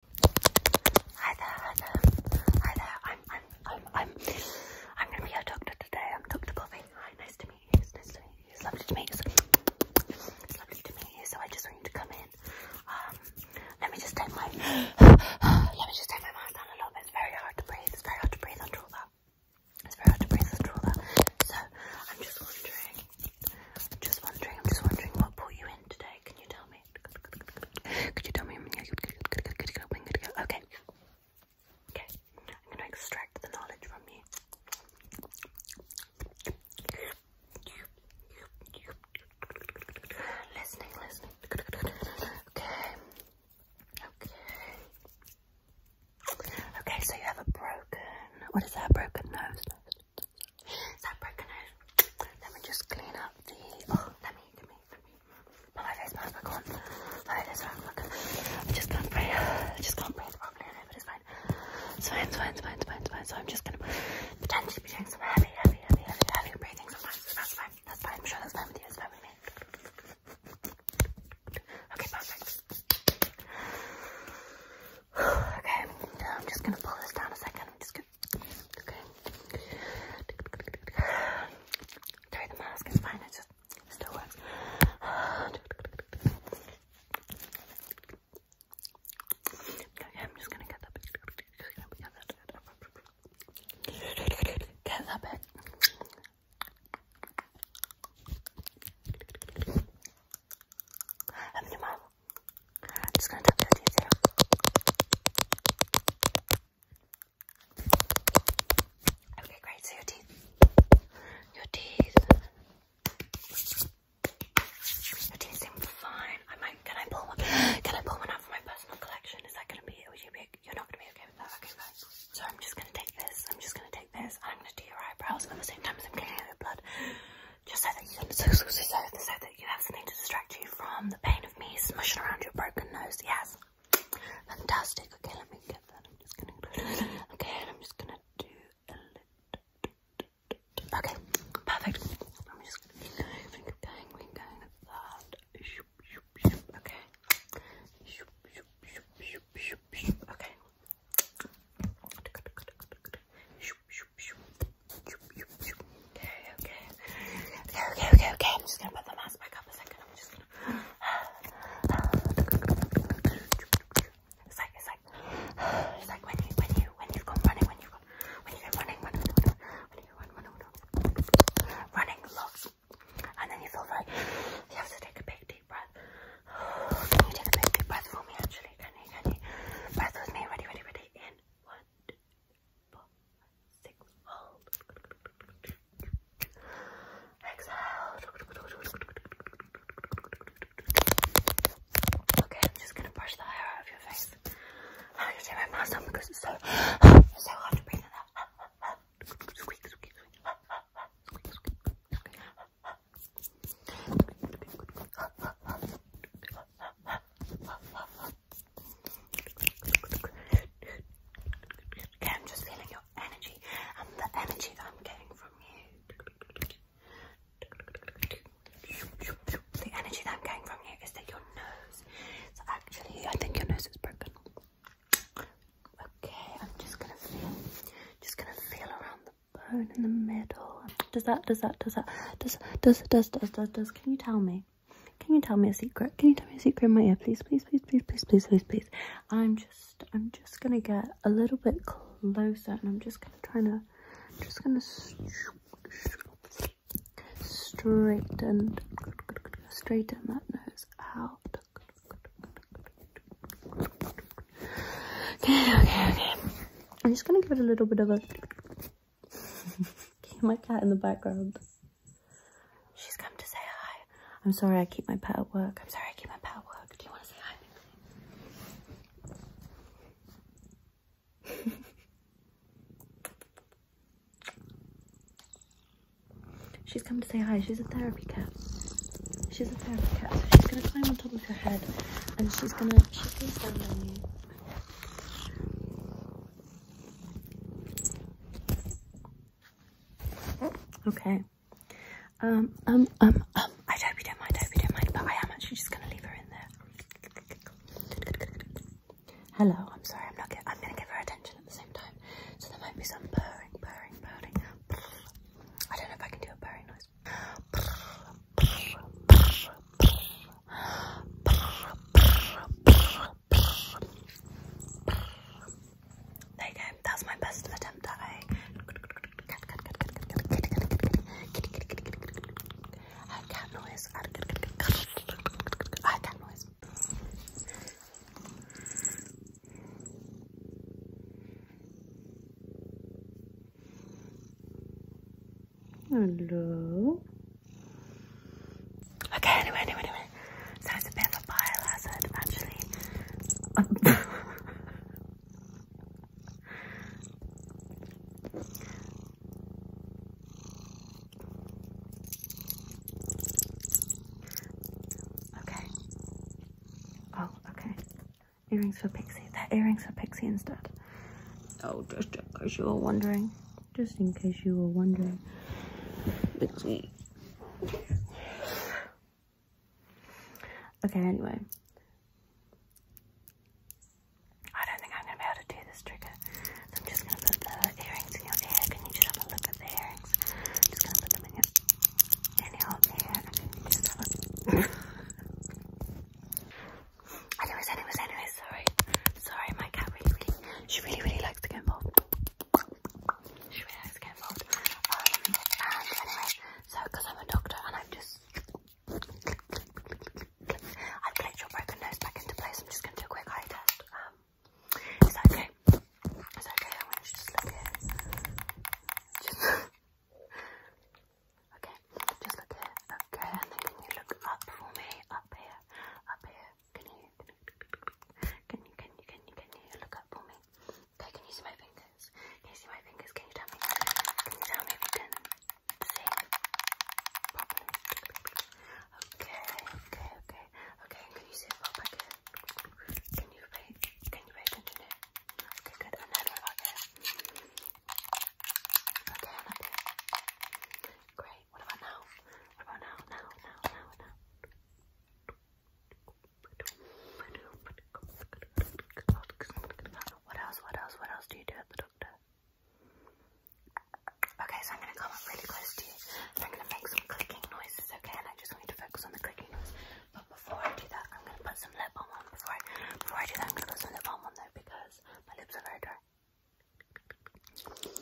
Hi there, hi there, hi there. I'm, I'm, I'm, I'm, I'm gonna be your doctor today. I'm Doctor Bobby. Hi, nice to meet you. It's nice to meet you. lovely to meet you. lovely to meet you. So I just want you to come in. Um, let me just take my, let me just take my mask down a little bit. It's very hard to breathe. It's very hard to breathe under all that. It's very hard to breathe under all that. So I'm just wondering, I'm just wondering, I'm just wondering what brought you in today. Can you tell me? Could you tell me? Okay. Okay. I'm going to extract the knowledge from you. Listening, listening. Okay. Okay. Okay, so you have a broken. What is that? Broken nose. So recognized. Let me just clean up the oh, let me let me let me my face mask back on. Like this one, look. I just can't breathe. I just can't breathe properly, but it's fine. It's fine, it's fine, it's fine, it's fine, it's fine. So I'm just gonna potentially be doing some heavy, heavy, heavy, heavy, breathing So that's fine. That's fine. I'm sure that's fine with you, it's fine with me. Okay, perfect. Okay, I'm just gonna pull this down a second. I'm just gonna Okay. Sorry, the mask is fine. It just still works. Okay, I'm just gonna get that bit. get that bit. Get that your mouth. I'm just gonna tap your teeth Okay, great. So your teeth, your teeth, your teeth seem fine. I might. Can I pull one? Can I pull one out for my personal collection? Is that gonna be? Would you be? You're not gonna be okay with that. Okay, So I'm just gonna take this. I'm just gonna take this. I'm gonna do your eyebrows at the same time I'm getting your blood just so that you, so, so, so, so, that you have something to distract you from the pain of me smushing around your broken nose. Yes, fantastic. Okay, let me get that. I'm just gonna. Okay, I'm just gonna do a little. Okay, perfect. I'm just gonna keep going, keep going, keep going with that. Shoop, shoop, shoop. Okay. Shoop, shoop, shoop, shoop, shoop, shoop. Okay okay. Okay, okay, okay, I'm just gonna put the mask back up a second. I'm just gonna. It's like, it's like, it's like when you, when you, when you've running, when you've when you go running, running, running, when you go running, running, running, running lots, and then you feel like you have to take a big deep breath. Can you take a big deep breath for me? Actually, can you? Can you? Breath with me. Ready, ready, ready. In. Ten. One, two, four, six. Hold. Exhale. Okay, I'm just gonna brush the hair out of your face. I'm gonna take my mask on because it's so it's so hard to breathe in that. Squeak, squeak, squeak. Squeak, squeak, squeak. Okay, I'm just feeling your energy and the energy that I'm getting from you. The energy that I'm getting from you is that your nose. So actually, I think your nose is broken. Okay, I'm just gonna feel, just gonna feel around the bone in the middle. Does that, does that, does that, does, does, does, does, does, does, can you tell me? Can you tell me a secret? Can you tell me a secret in my ear, please, please, please, please, please, please, please, I'm just, I'm just gonna get a little bit closer and I'm just gonna try to, just gonna straighten, straighten that nose out. Okay, okay, okay. I'm just gonna give it a little bit of a my cat in the background. She's come to say hi. I'm sorry I keep my pet at work. I'm sorry I keep my pet at work. Do you want to say hi? she's come to say hi. She's a therapy cat. She's a therapy cat. So she's going to climb on top of your head and she's going to Okay. Um, um, um, um, I hope you don't mind, I hope don't mind, but I am actually just going to leave her in there. Hello, I'm sorry, I'm not I'm going to give her attention at the same time. So there might be some purring, purring, purring. I don't know if I can do a purring noise. There you go. That was my best attempt at a I cat noise. I cat noise. Hello. Okay, anyway, anyway, anyway. So it's a bit of a biohazard, actually. okay. Oh, okay. Earrings for Pixie. they earrings for Pixie instead. Oh, just in case you were wondering. Just in case you were wondering. Pixie. Okay, anyway. I don't think I'm going to be able to do this trigger. So I'm just going to put the earrings in your ear. Can you just have a look at the earrings? just going to put them in your, in your ear. Anyways, anyways, anyways, sorry. Sorry, my cat really, really, she really, really likes to get involved. She really likes to get involved. Um, and anyway, so because I'm a doctor and i am just, I've clicked your broken nose back into place. I'm just going to do a quick eye test. Um, is that okay? Is that okay? I want you to just look here. Okay, just look here. Okay, and then can you look up for me? Up here, up here. Can you, can you, can you, can you, can you look up for me? Okay, can you see my fingers? Can you see my fingers? Can you tell me? Can you tell me if you can see properly? Okay, okay, okay, okay. Can you see it well back here? Can you pay? Can you pay attention here? Okay, good. And then right back here. Great. What about now? What about now? Now, now, now, now. What else? What else? What else do you do at the doctor? Okay, so I'm gonna come up really close to you. And I'm gonna make some clicking noises, okay? And I just want to focus on the clicking but before I do that, I'm gonna put some lip balm on. Before I, before I do that, I'm gonna put some lip balm on there because my lips are very dry. It's a little bit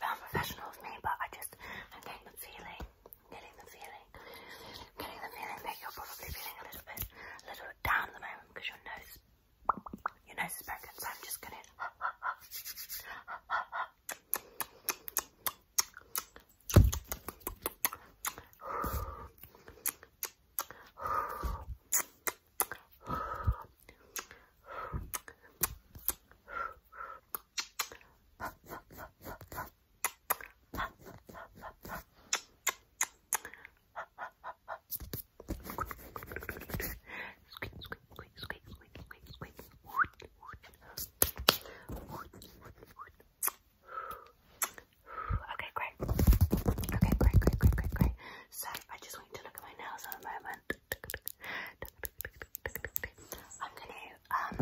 unprofessional of me, but I just I'm getting the feeling getting the feeling, getting the feeling that you're probably feeling a little bit, a little bit down at the moment because your nose, your nose is broken. So I'm just gonna. Okay, great. Okay, great, great, great, great, So I just want you to look at my nails at the moment. I'm gonna um,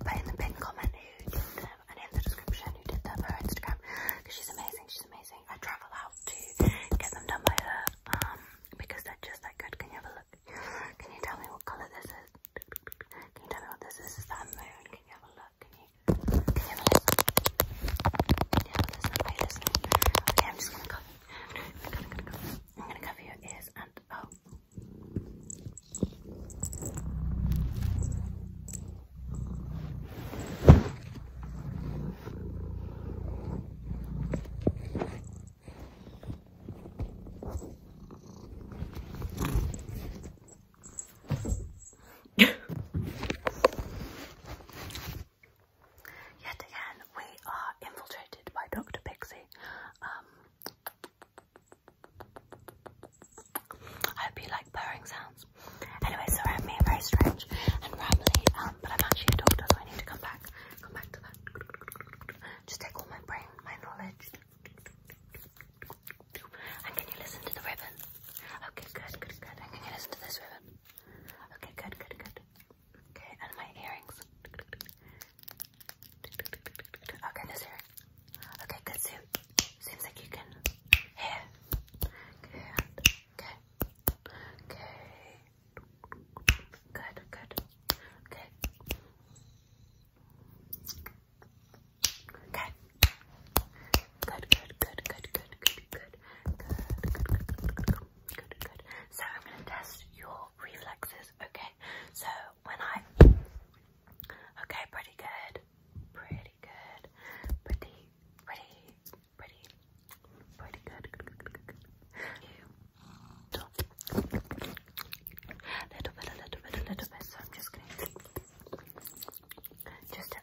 put in the pin comment who did them and in the description who did them her Instagram because she's amazing, she's amazing. I travel out to get them done by her, um, because they're just that good. Can you have a look? Can you tell me what colour this is? Can you tell me what this is? that moon? Can you have a look? Can you can you have a listen? Can you have a listen? Okay, I'm just gonna cover, I'm gonna cover your ears and oh Yet again, we are infiltrated by Dr. Pixie. Um, I hope you like purring sounds. Anyway, sorry I'm very strange and rambly, um, but I'm actually a doctor, so I need to come back, come back to that. Just take all my brain, my knowledge. And can you listen to the ribbon? Okay, good, good, good. And can you listen to this ribbon? Okay, good, good, good. Okay, and my earrings. Okay, this here. Okay, good zoom. Seems like you can here. Okay. Okay. Good, good. Okay. Okay. good, good, good, good, good, good, good, good, good, good, good, good. So I'm gonna test your reflexes, okay? So when I okay, pretty good, pretty good, pretty, pretty, pretty, pretty good. little bit, a little bit, a little bit. So I'm just gonna just to,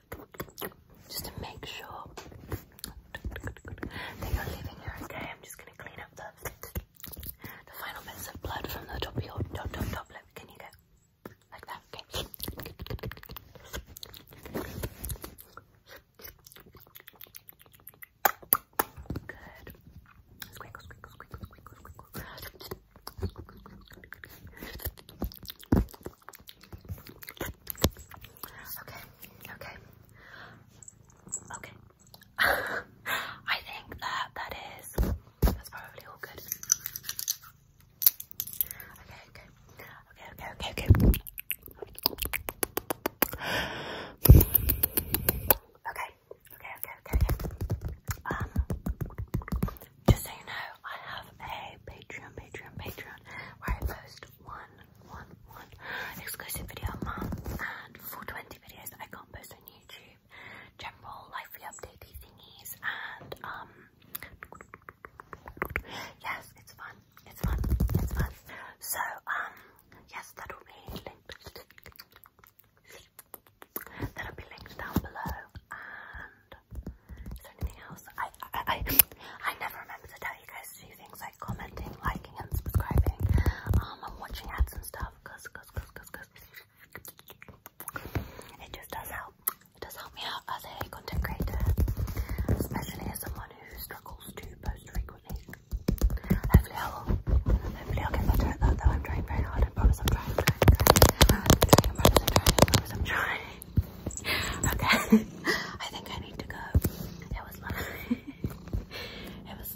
just to make sure that you're leaving here okay. I'm just gonna clean up the the final bits of blood from the top of your top, top, top lip. Can you go like that? Okay. Good. Okay, okay, okay. I think that that is that's probably all good. Okay, okay, okay, okay, okay, okay. Okay, okay, okay, okay, okay. Um, just so you know, I have a Patreon, Patreon, Patreon, where I post one, one, one exclusive video a month, and for 20 videos I can't post on YouTube, general lifey updatey thingies, and um, yes, it's fun, it's fun, it's fun. So um, yes, that will be linked. That'll be linked down below. And is there anything else? I I I, never remember to tell you guys to do things like commenting, liking, and subscribing, um, and watching ads and stuff. It just does help. It does help me out as a content creator, especially as someone who struggles to post frequently. Hopefully, I'll, hopefully I'll get better at that. Though I'm trying very hard. I promise I'm trying. I promise I'm trying. okay. I think I need to go. It was lovely. it was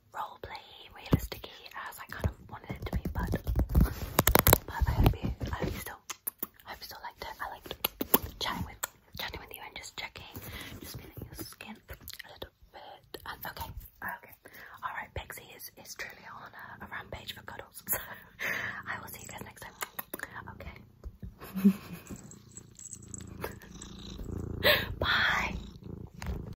role playing realistically as I kind of wanted it to be, but but I hope you I hope you still I hope you still liked it. I liked chatting with chatting with you and just checking, just feeling your skin a little bit and um, okay, okay. Alright, Pixie is, is truly on a, a rampage for cuddles. So I will see you guys next time. Okay. Bye.